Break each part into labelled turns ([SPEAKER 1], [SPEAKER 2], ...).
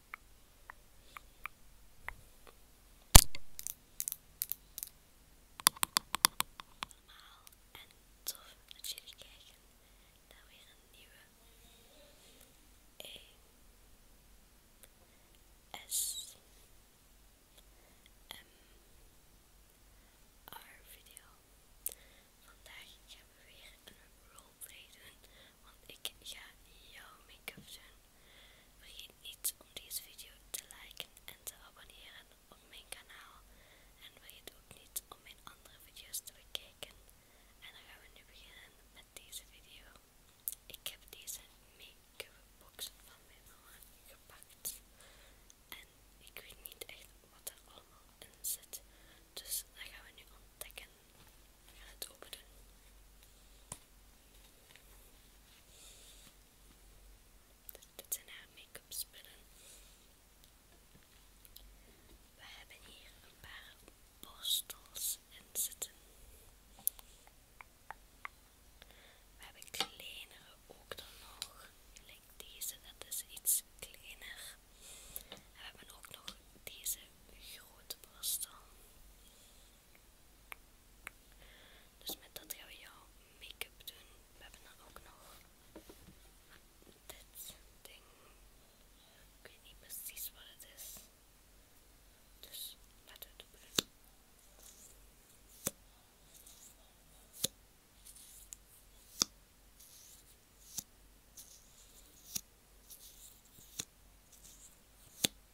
[SPEAKER 1] Normaal en tof dat jullie kijken naar weer een nieuwe E
[SPEAKER 2] S M
[SPEAKER 1] R video. Vandaag gaan we weer een roleplay doen, want ik ga jouw make-up doen. Vergeet niet om deze video te liken en te abonneren op mijn kanaal. En vergeet ook niet om mijn andere video's te bekijken. En dan gaan we nu beginnen met deze video. Ik heb deze make-up box van mijn mama gepakt. En ik weet niet echt wat er allemaal in zit. Dus dat gaan we nu ontdekken. We gaan het open doen. Dit zijn haar make-up spullen. We hebben hier een paar borstels in zitten. We hebben kleinere ook dan nog. Kijk deze, dat is iets kleiner. En we hebben ook nog deze grote borstel. Dus met dat gaan we jouw make-up doen. We hebben dan ook nog dit ding. Ik weet niet precies wat het is. Dus laten we het doen.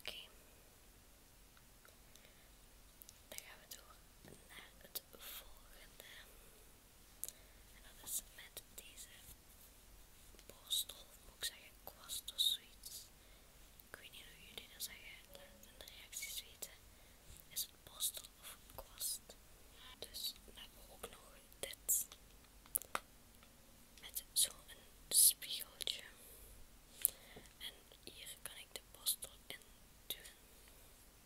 [SPEAKER 1] Okay. Daar gaan we door naar het volgende. En dat is met deze borstel, moet ik zeggen, kwast of zoiets. Ik weet niet hoe jullie dat zeggen, laat in de reacties weten. Is het borstel of een kwast? Dus dan hebben ook nog dit. Met zo'n spiegeltje. En hier kan ik de borstel in doen. Ik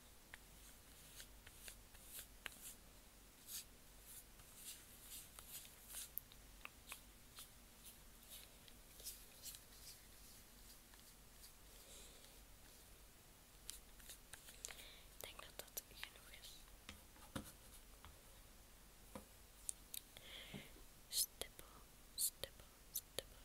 [SPEAKER 2] denk dat dat genoeg is. Stippel, stipple, stipple,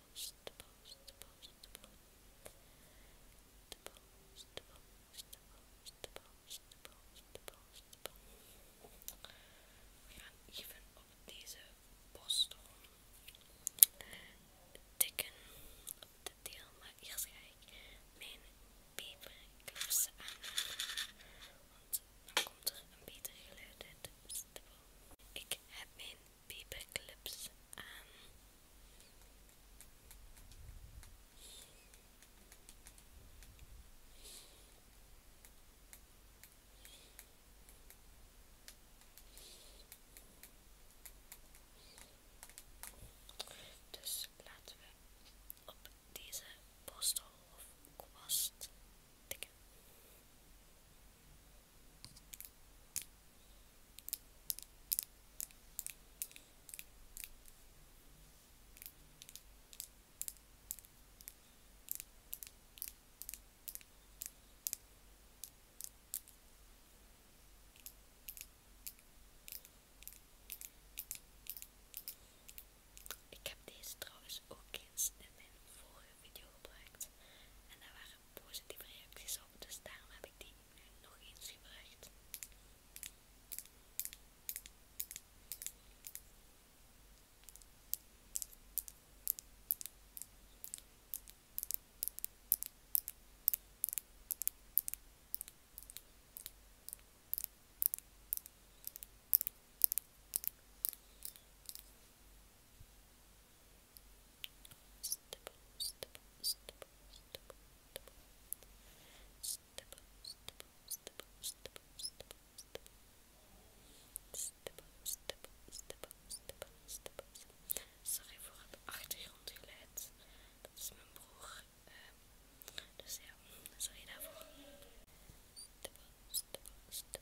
[SPEAKER 2] post, the post, the de de We gaan even op deze postel
[SPEAKER 1] tikken op de deel, maar eerst ga ik mijn paperclips aan, want dan komt er een beter geluid uit. ik heb mijn paperclips aan. Dus laten we op deze postel of
[SPEAKER 2] kwast
[SPEAKER 1] ik heb deze trouwens ook eens in mijn vorige video gebruikt en daar waren positieve reacties op, dus daarom heb ik die nog eens gebruikt. Oké,
[SPEAKER 2] step stipple, step stipple, step step, step stipple,
[SPEAKER 1] Sorry voor het achtergrondgeluid. Dat is mijn broer. Ehm,
[SPEAKER 2] dus ja, sorry daarvoor. Stipple, step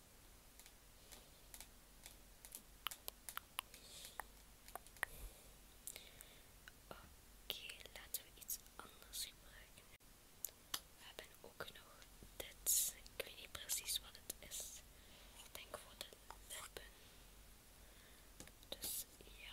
[SPEAKER 1] Oké, laten we iets anders gebruiken. We hebben ook nog dit. Ik weet niet precies wat het is. Ik denk voor de lippen. Dus ja.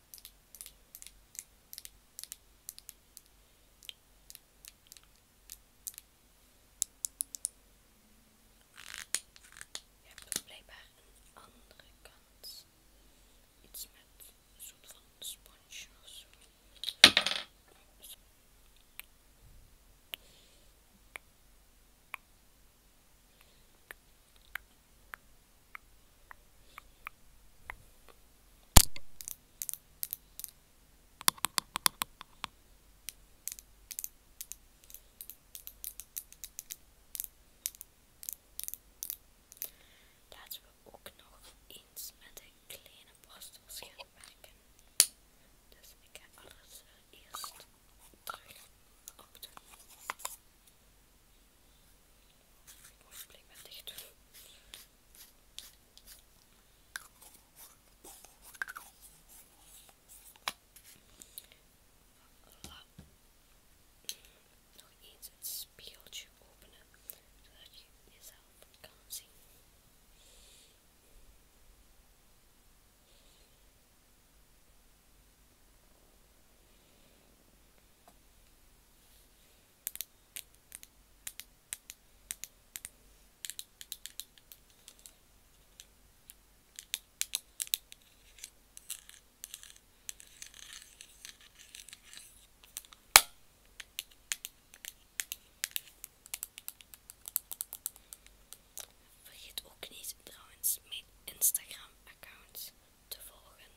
[SPEAKER 1] Je hebt ook blijkbaar een andere kant. Iets met soort van sponsje Laten we ook nog eens met een kleine borstels gaan Dus ik ga alles eerst terug opdoen. Mooi, blik maar Nog eens het spiegeltje openen, zodat je jezelf kan zien. Vergeet ook niet trouwens mijn Instagram account te volgen.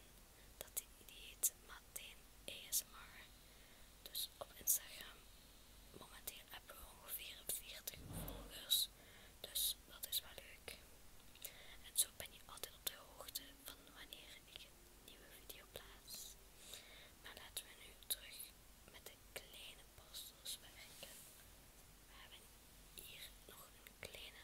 [SPEAKER 1] Dat die heet Martijn ASMR. Dus op Instagram. Momenteel hebben we ongeveer 44 volgers. Dus dat is wel leuk. En zo ben je altijd op de hoogte van wanneer ik een nieuwe video plaats. Maar laten we nu terug met de kleine borstels werken. We hebben hier nog een kleine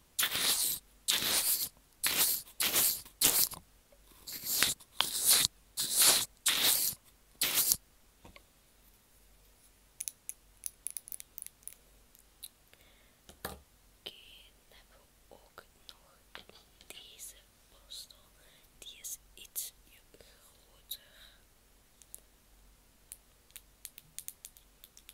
[SPEAKER 2] dan hebben we
[SPEAKER 1] ook nog deze borstel. Die is iets groter.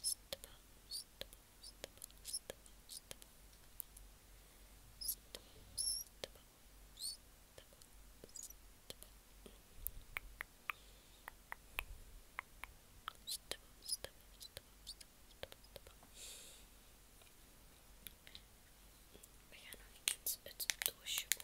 [SPEAKER 2] Stubble, stubble, stubble, stubble, stubble. Stubble, stubble, stubble, We gaan nog eens het doosje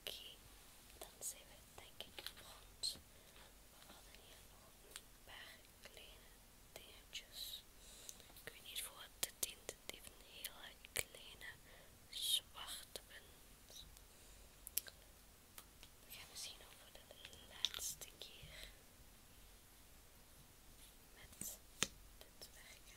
[SPEAKER 1] Oké, dan zijn we denk ik rond. We hadden hier nog een paar kleine dingetjes. Ik weet niet voor wat het dient. Het heeft een hele kleine zwarte punt. We gaan zien of voor de laatste keer met dit werken.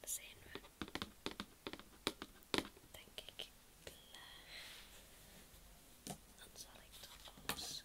[SPEAKER 1] Dan zijn we, denk ik, Dan zal ik de alles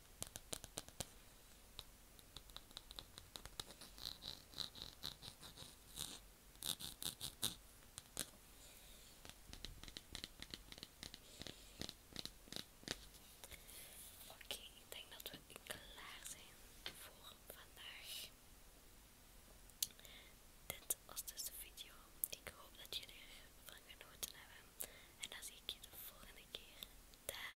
[SPEAKER 1] Oké, ik denk dat we klaar zijn voor vandaag. Dit was dus de video. Ik hoop dat jullie ervan genoten hebben. En dan zie ik je de volgende keer.